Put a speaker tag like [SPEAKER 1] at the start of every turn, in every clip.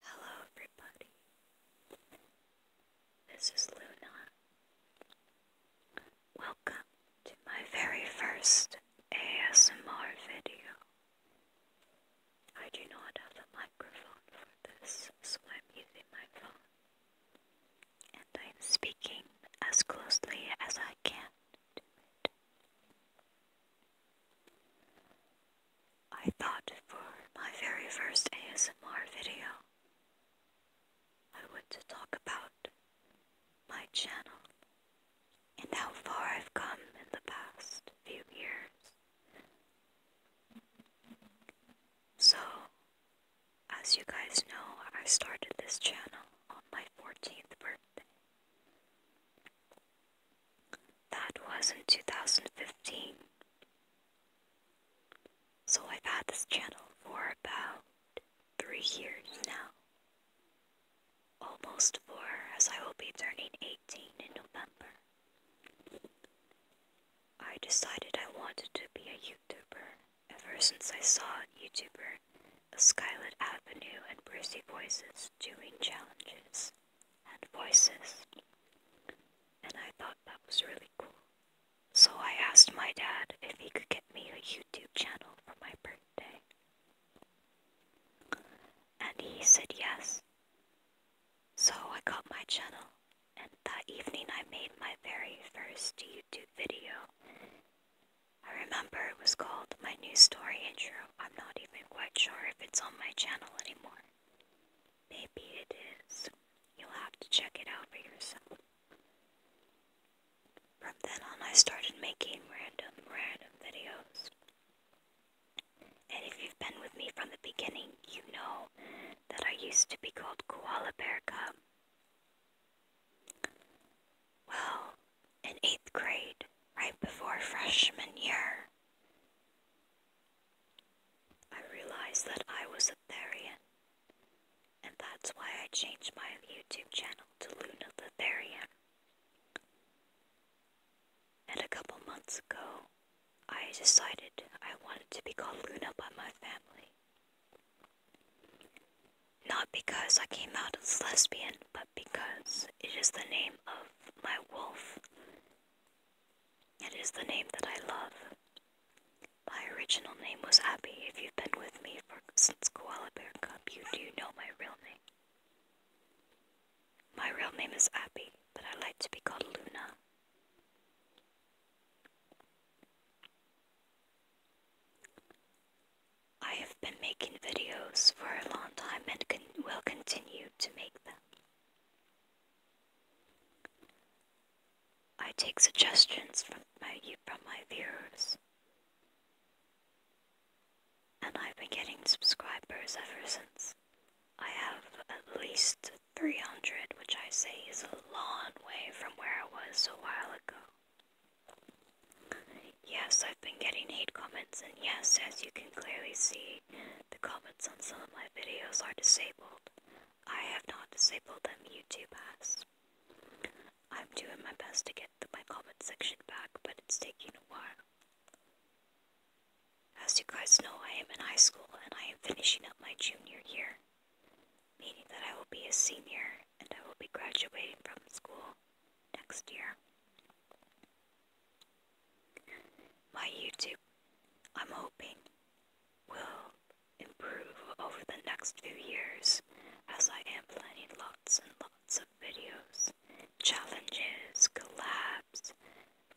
[SPEAKER 1] Hello, everybody. This is Luna. Welcome to my very first ASMR video. I do not have a microphone for this, so I'm using my phone. And I'm speaking as closely as I can I thought for my very first ASMR video, I would talk about my channel and how far I've come in the past few years. So, as you guys know, I started this channel on my 14th birthday. That was in 2015. So I've had this channel for about three years now. Almost four, as I will be turning 18 in November. I decided I wanted to be a YouTuber ever since I saw YouTuber Skylit Avenue and Brucey Voices doing challenges and voices. And I thought that was really cool. So I asked my dad if he could get me a YouTube channel for my birthday. And he said yes. So I got my channel, and that evening I made my very first YouTube video. I remember it was called My New Story Intro. I'm not even quite sure if it's on my channel anymore. Maybe it is. You'll have to check it out for yourself. From then on, I started making random, random videos. And if you've been with me from the beginning, you know that I used to be called Koala Bear Cub. Well, in eighth grade, right before freshman year, I realized that I was a Therian, and that's why I changed my YouTube channel to Luna the Therian. And a couple months ago, I decided I wanted to be called Luna by my family. Not because I came out as lesbian, but because it is the name of my wolf it is the name that I love. My original name was Abby. If you've been with me for, since Koala Bear Cup, you do know my real name. My real name is Abby, but I like to be called Luna. I have been making videos for a long time and will continue to make them. I take suggestions from my from my viewers. And I've been getting subscribers ever since. I have at least 300, which I say is a long way from where I was a while ago. Yes, I've been getting hate comments, and yes, as you can clearly see, the comments on some of my videos are disabled. I have not disabled them, YouTube has. I'm doing my best to get my comment section back, but it's taking a while. As you guys know, I am in high school and I am finishing up my junior year, meaning that I will be a senior and I will be graduating from school next year. My YouTube, I'm hoping, will improve over the next few years as I am planning lots and lots of videos, challenges, collabs,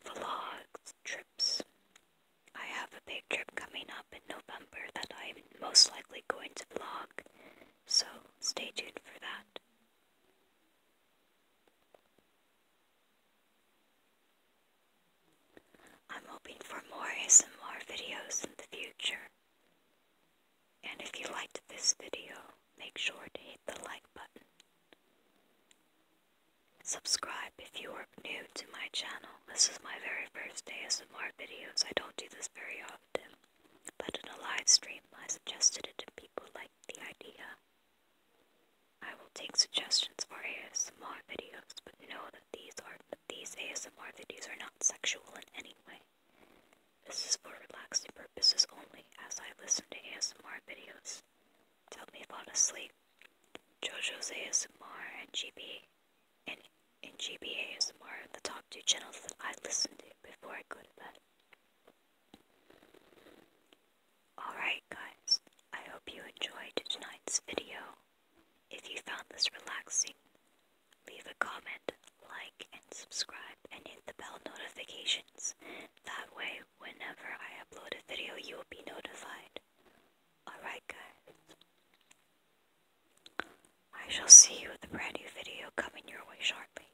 [SPEAKER 1] vlogs, trips. I have a big trip coming up in November that I'm most likely going to vlog, so stay tuned for that. I'm hoping for more ASMR videos in the future. And if you liked this video, make sure to hit the like button. Subscribe if you are new to my channel. This is my very first day ASMR videos. I don't do this very often. But in a live stream, I suggested it to people liked the idea. I will take suggestions for ASMR videos, but know that these are these ASMR videos are not sexual in any way. This is for relaxing purposes only as I listen to ASMR videos. Tell me if I'm asleep. JoJo's ASMR and GB and, and GB ASMR are the top two channels that I listen to before I go to bed. Alright guys, I hope you enjoyed tonight's video. If you found this relaxing, leave a comment, like, and subscribe, and hit the bell notifications. That way, whenever I upload a video, you will be notified. Alright guys, I shall see you with a brand new video coming your way shortly.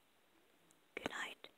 [SPEAKER 1] Good night.